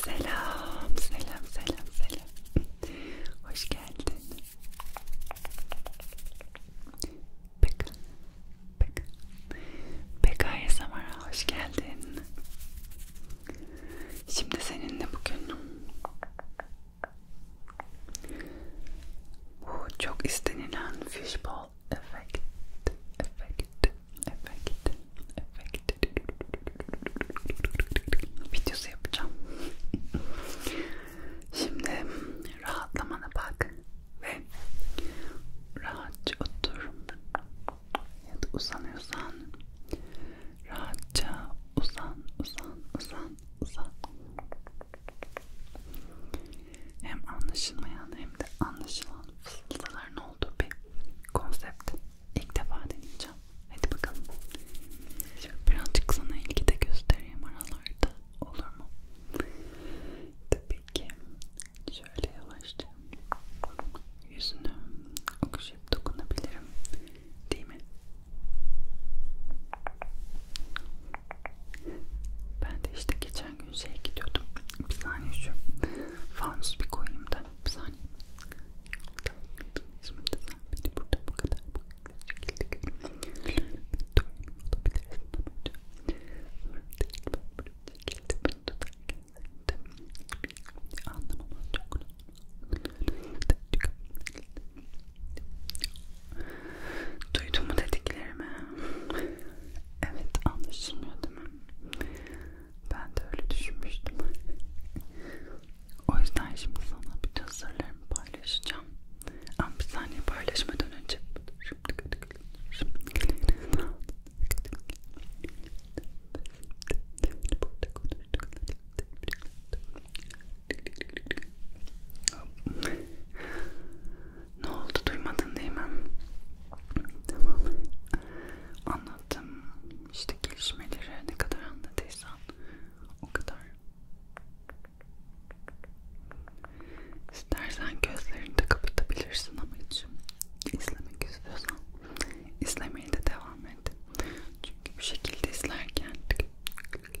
Selam, selam, selam, selam. Hoş geldin. Beka, Beka, Beka Samara hoş geldin. Şimdi seninle bugün bu çok istenilen fishbowl efekt, efekt, Efekt, efekt. Videosu yapacağım. Şimdi rahatlamana bak ve rahatça otur ya da uzanıyorsan rahatça uzan, uzan, uzan, uzan. Hem anlaşılmayan hem de anlaşılan fısıltıların olduğu bir konsept. İlk defa deneyeceğim. Hadi bakalım. Şimdi birazcık sana ilgi de göstereyim aralarda. Olur mu? Tabii ki. Şöyle yavaşça yüzünü okşayıp dokunabilirim. Değil mi? Ben de işte geçen gün şeye gidiyordum. Bir saniye şu fanus bir koyayım da burada bir saniye şimdi sen beni burada bu kadar şekilde görüyorsun Duydun mu dediklerimi? evet anlaşılmıyor değil mi? Ben de öyle düşünmüştüm. o yüzden şimdi sana bütün sırlarımı paylaşacağım. Ama bir saniye paylaşmadan önce ne oldu duymadın değil mi? Tamam. Anladım hayatım, işte gelişmeleri ne kadar anlatırsan o kadar. İstersen gözlerini de kapatabilirsin ama hiç izlemek istiyorsan izlemeye de devam et. Çünkü bu şekilde izlerken böyle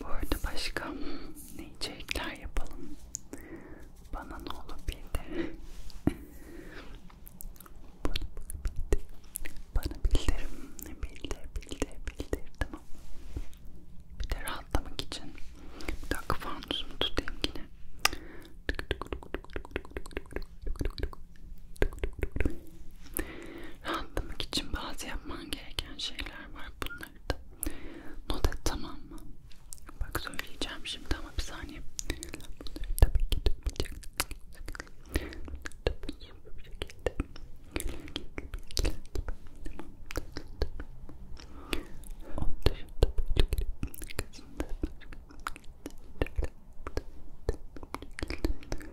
Bu arada başka ne içerikler yapalım? Bana ne olup bildir. Bana bildirim. Bildir, bildir, bildir. Tamam. Bir de rahatlamak için. Bir dakika fanusumu tutayım yine. Rahatlamak için bazı yapman gereken şeyler var. Bunlar bunları da. Not et tamam mı? Bak söyleyeceğim şimdi ama bir saniye. Bunları tabii ki duymayacak. Tabii ki bu şekilde. Onun dışında böyle kısımda. Dikkat edin ama ki gülümünü böyle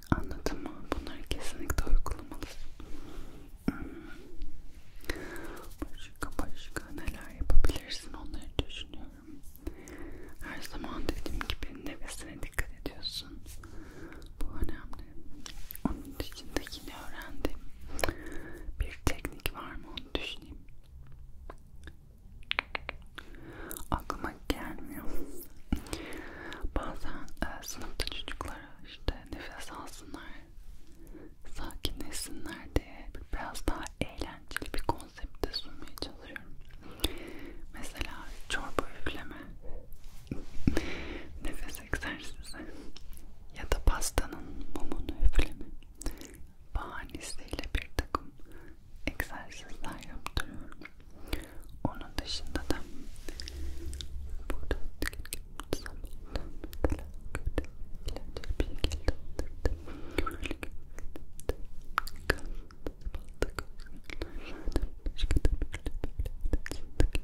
Anladın mı? Bunları kesinlikle uygulamalısın. Başka başka neler yapabilirsin onları düşünüyorum. Her zaman dediğim gibi nefesine dikkat ediyorsun. Bu önemli. Onun içinde yine öğrendim. Bir teknik var mı onu düşüneyim. Aklıma gelmiyor. Bazen e, sınıfta çocuklar işte nefes alsınlar, sakinleşsinler diye biraz daha eğlenceli bir konsepte sunmaya çalışıyorum. Mesela çorba üfleme, nefes egzersizi ya da pastanın mumunu üfleme bahanesiyle bir takım egzersizler yaptırıyorum. Onun dışında da burada zamanla mesela kötü ilaçları bir şekilde öldürdüm. Gaz, balta gazlardan başka da böyle böyle içindeki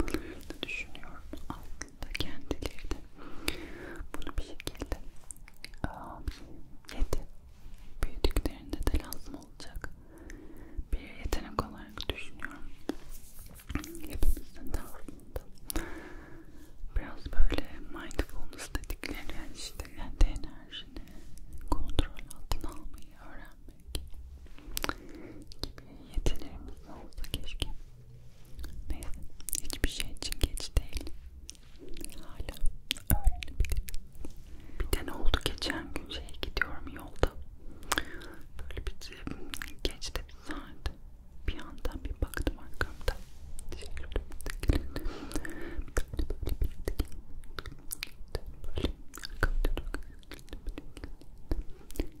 böyle böyle düşünüyorum. Aslında kendileri de bunu bir şekilde um, yedi büyüdüklerinde de lazım olacak bir yetenek olarak düşünüyorum. Hepimizin de aslında biraz böyle mindfulness dedikleri yani işte kendi enerjini kontrol altına almayı öğrenmek gibi yetilerimiz olsa keşke. Neyse hiçbir şey için geç değil. Hala öyle bir Bir de ne oldu geçen gün şeye gidiyorum yolda. Böyle bir geçti bir saat. Bir yandan bir baktım arkamda. Şöyle bir Böyle arkamda Gel gel. Sabah da gidiyorum.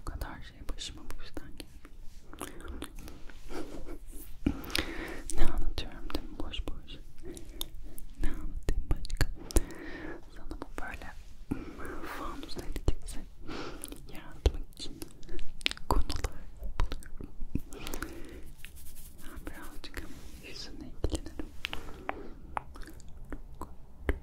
Bu kadar şey başıma bu yüzden geldi. ne anlatıyorum değil mi boş boş? Ne anlatayım başka? Sana bu böyle fanus etkisi yaratmak için konular buluyorum. Ben birazcık yüzüne ilgilenirim.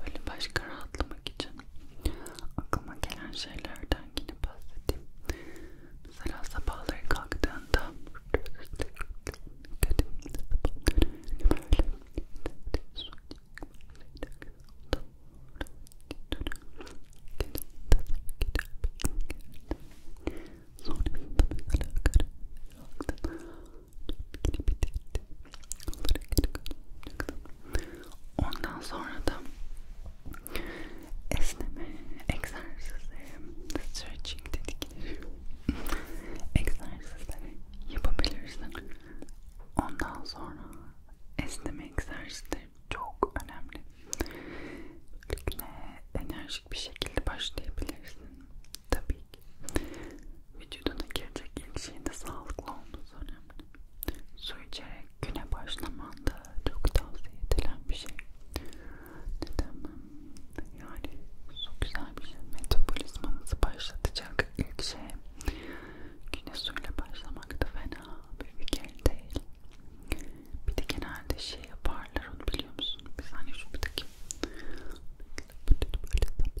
Böyle başka rahatlamak için aklıma gelen şeylerden yine bahsedeyim. Mesela sabahları kalktığında Sonrasında mesela karın Ondan sonra da esneme egzersizleri, stretching dedikleri egzersizleri yapabilirsin. Ondan sonra esneme egzersizleri çok önemli. Güne enerjik bir şekilde başlayabilirsin. Tabii girecek. Vücuduna girecek ilk şeyin de sağlıklı olması önemli. Su içerek güne başlaman da çok tavsiye edilen bir şey. Neden mi? Yani su güzel bir şey. Metabolizmanızı başlatacak ilk şey. Güne suyla başlamak da fena bir fikir değil. Bir de genelde şey yaparlar onu biliyor musun? Biz hani şuradaki böyle böyle böyle böyle böyle böyle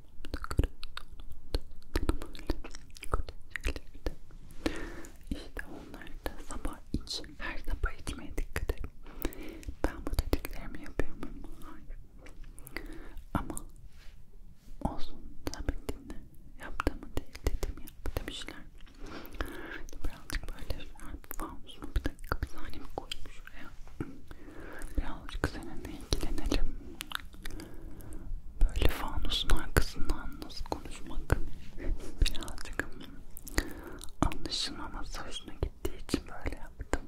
İşte onlar da sabah için her sabah içmeye dikkat edin. Ben bu dediklerimi yapıyorum Hayır. Ama olsun tabii dinle. Yaptığımı değil dediğimi yap demişler. Birazcık böyle şarap var mı? Bir dakika bir saniye koymuş şuraya. Birazcık seninle ilgilenelim. Böyle fanusun arkasından nasıl konuşmak birazcık anlaşılmaması hoşuna gittiği için böyle yaptım.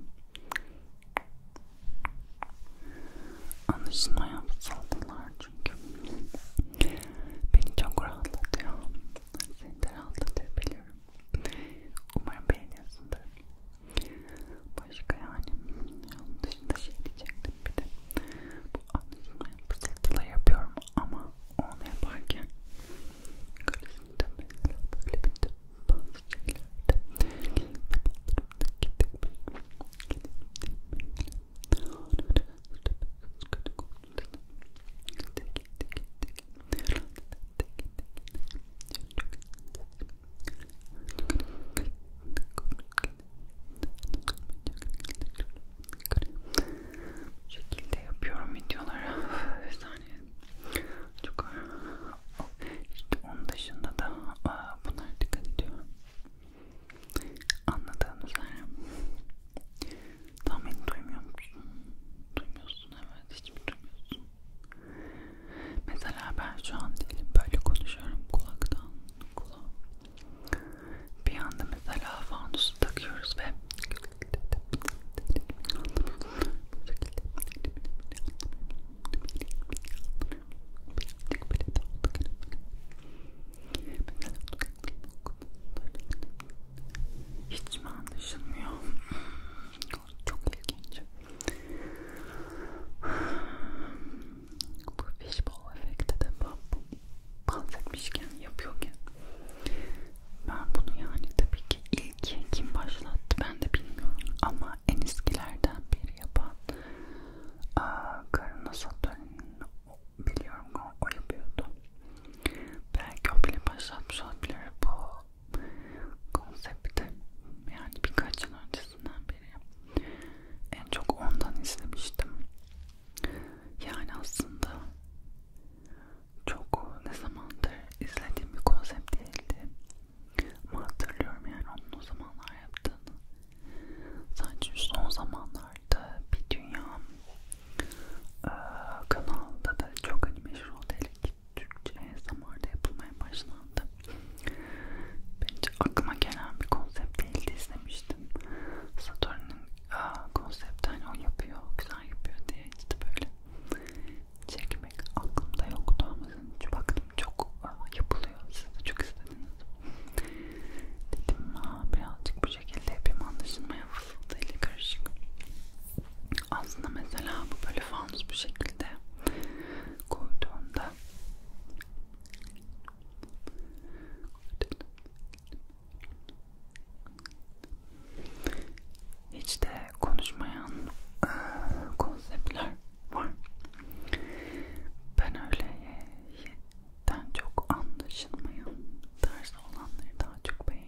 Anlaşılmayan fısıldılar çünkü. Beni çok rahatlatıyor. Seni de rahatlatıyor biliyorum. Umarım beğeniyorsundur. Başka yani onun şey diyecektim bir de bu anlaşılmayan pısıltılar yapıyorum ama onu yaparken Bu şekilde yapıyorum videoları. Bir saniye. Çok işte onun dışında da aa, bunlar dikkat ediyorum. Anladığın üzere. Tam beni duymuyor musun? Duymuyorsun evet. Hiç mi duymuyorsun? Mesela ben şu an diyelim böyle konuşuyorum kulaktan kulağa. Bir anda mesela fanusu takıyoruz ve hiç mi anlaşılmıyor? Çok ilginç. Bu fishbowl efekti de bahsetmişken, yapıyorken ben bunu yani tabii ki ilk kim başlattı ben de bilmiyorum ama en eskilerden biri yapan Karina Saturn'in biliyorum o, o yapıyordu. Belki o bile başlatmış olabilir bu konsepti yani birkaç yıl öncesinden beri en çok ondan izlemiştim. Yani aslında çok ne zamandır izlediğim bir konsept değildi. Ama hatırlıyorum yani onun o zamanlar yaptığını. Sadece son zamanlarda bir dünya e, kanalda da çok hani meşhur otelik ki Türkçe ASMR'da yapılmaya başlandı. Bence aklıma gelen bir konsept değildi izlemiştim. Saturn'un konsepti hani o yapıyor, güzel yapıyor diye işte böyle çekmek aklımda yoktu ama hiç baktım çok aa, yapılıyor. Siz de çok istediniz. Dedim aa birazcık bu şekilde yapayım anlaşılmaya fısıltıyla karışık. Aslında mesela bu böyle fanus bir şekilde koyduğunda hiç de konuşmayan ıı, konseptler var. Ben öyle e, çok anlaşılmayan tarzı olanları daha çok beğeniyorum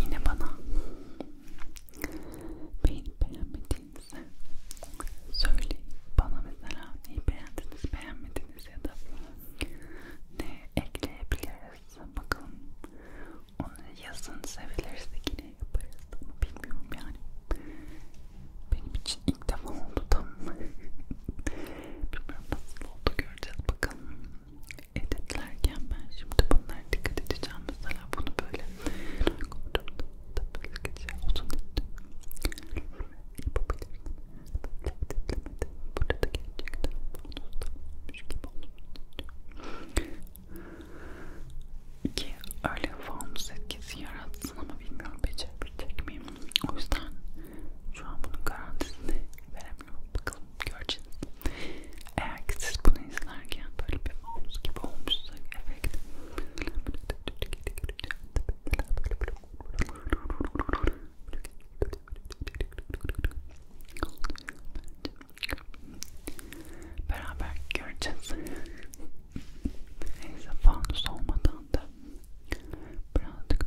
Yine bana beğenip beğenmediğinizi söyleyin. Bana mesela neyi beğendiniz, beğenmediniz ya da ne ekleyebiliriz bakalım. Onu yazın sevilirse yine yaparız ama bilmiyorum yani. Benim için ilk defa oldu tam. Bilmiyorum nasıl oldu göreceğiz bakalım editlerken ben şimdi bunlara dikkat edeceğim mesela bunu böyle böyle geçer uzun yapabilirim böyle editlemede burada gerçekten bonus gibi olur ki öyle fonus etkisi yaratsın ama bilmiyorum becerebilecek miyim o yüzden şu an bunun garantisini veremem vermiyor. Bakalım göreceğiz. Eğer ki siz bunu izlerken böyle bir omuz gibi olmuşsa efekt beraber göreceğiz. Neyse fanus olmadan da birazcık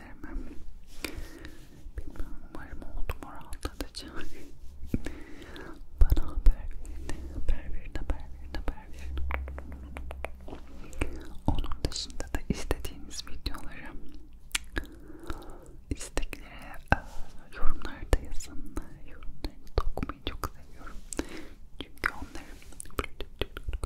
olabilir mi? Bilmiyorum. Umarım oldu mu rahatlatıcı. Bana haber verin. Haber verin, haber verin, haber verin. Onun dışında da istediğiniz videoları isteklere yorumlarda yazın. Yorumlarınızı okumayı çok seviyorum. Çünkü onları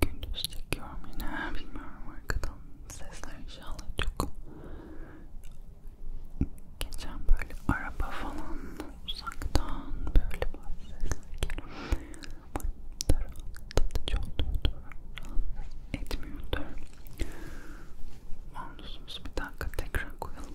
gündüz çekiyorum yine bilmiyorum arkadan sesler inşallah çok geçen böyle araba falan uzaktan böyle bazı sesler geliyor bana rahatlatıcı oluyordu rahatsız etmiyordu Anlıyorsunuz bir dakika tekrar koyalım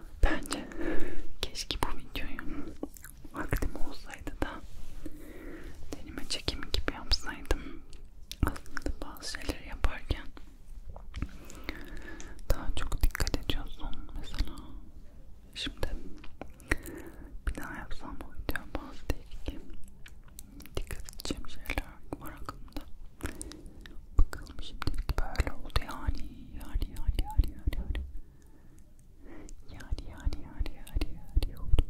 Bence keşke bu videoyu vaktim olsaydı da deneme çekimi gibi yapsaydım. Aslında bazı şeyleri yaparken daha çok dikkat ediyorsun. Mesela şimdi bir daha yapsam bu video bazı değil ki dikkat edeceğim şeyler var aklımda. Bakalım şimdilik böyle oldu yani yani yani yani yani yani yani yani yani yani yani oldu oldu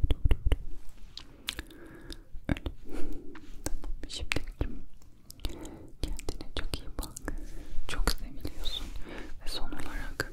oldu öyle tamam şimdilik kendine çok iyi bak çok seviliyorsun ve son olarak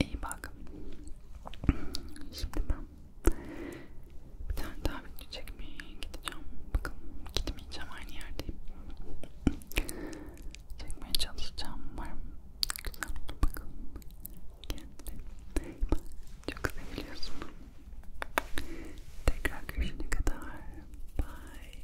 İyi bak. Şimdi ben bir tane daha video çekmeye gideceğim. Bakın gitmeyeceğim aynı yerdeyim. Çekmeye çalışacağım. Umarım güzel oldu. Bakın. Kendine çok seviyorsun. Tekrar görüşene kadar. Bye.